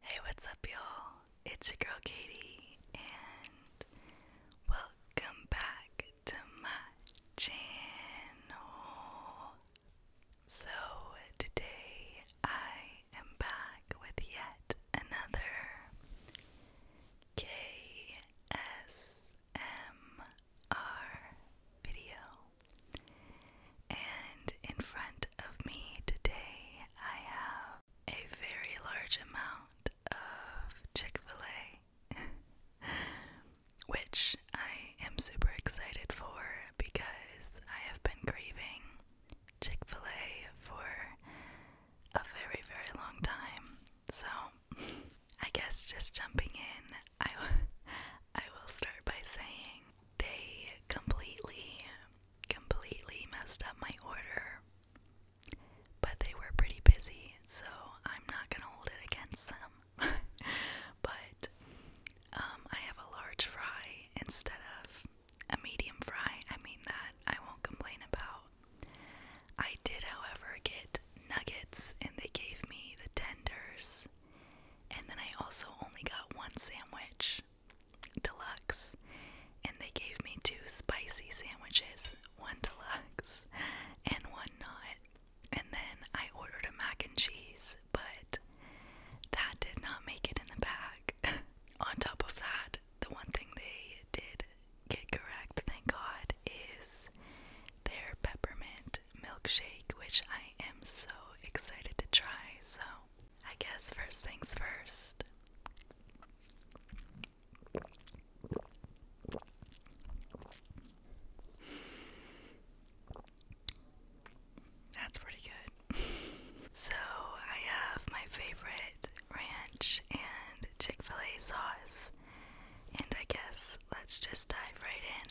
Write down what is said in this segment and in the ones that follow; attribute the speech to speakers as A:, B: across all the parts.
A: Hey, what's up, y'all? It's your girl Katie, and welcome back to my channel. So, today I am back with yet another KSMR video, and in front of me today, I have a very large amount of Chick fil A, which I am super excited for because I have been craving Chick fil A for a very, very long time. So, I guess just jumping in, I, I will start by saying they completely completely messed up my order. But they were pretty busy, so I'm not gonna hold it against them. but um, I have a large fry instead of a medium fry. I mean, that I won't complain about. I did, however, get nuggets and they gave me the tenders. And then I also only got one sandwich deluxe, and they gave me two spicy sandwiches, one deluxe and one not. And then I ordered a mac and cheese, but that did not make it in the bag. On top of that, the one thing they did get correct, thank God, is their peppermint
B: milkshake, which I am so excited to try.
A: So I guess first things first. That's pretty good. so, I have my favorite ranch and Chick fil A sauce, and I guess let's just dive right in.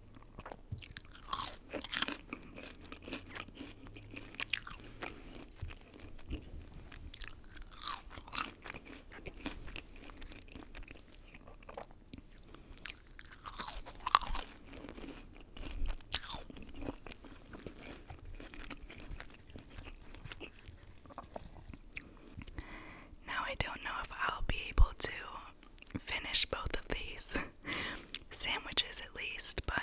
A: Now I don't know if I'll be able to finish both of these sandwiches at least, but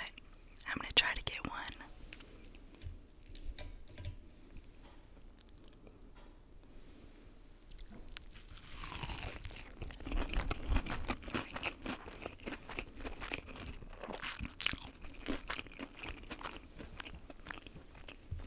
A: I'm going to try to get one.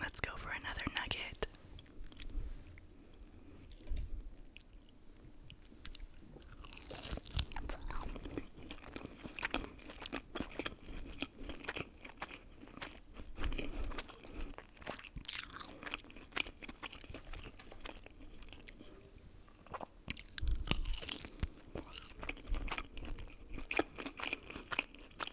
A: Let's go for another nugget.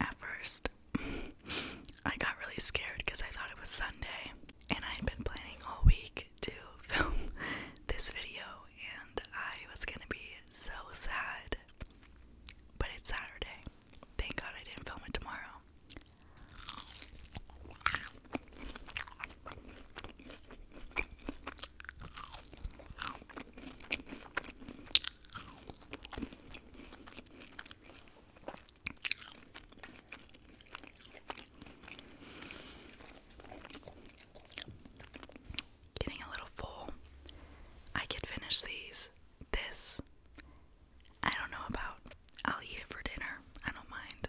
A: At first, I got really scared because I thought it was Sunday, and I had been planning all week to film this video, and I was gonna be so sad. But it's Saturday. Thank God I didn't film it tomorrow. Getting a little full. I could finish these. This, I don't know about. I'll eat it for dinner. I don't mind.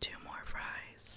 A: Two more fries.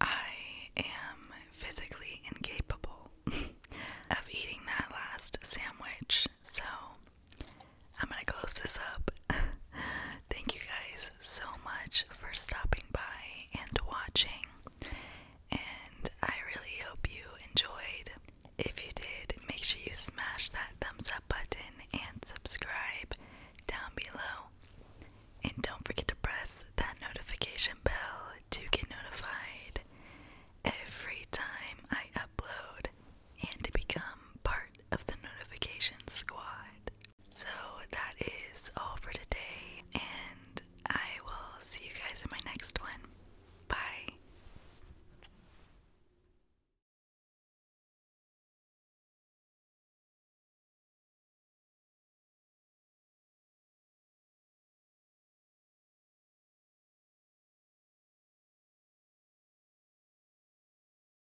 A: I am physically incapable of eating that last sandwich, so I'm gonna close this up. Thank you guys so much for stopping by and watching, and I really hope you enjoyed. If you did, make sure you smash that thumbs up button and subscribe down below. And don't forget to press that notification bell to get notified every time I upload and to become part of the notification squad. So that is all for today, and I will see you guys in my next one. Bye.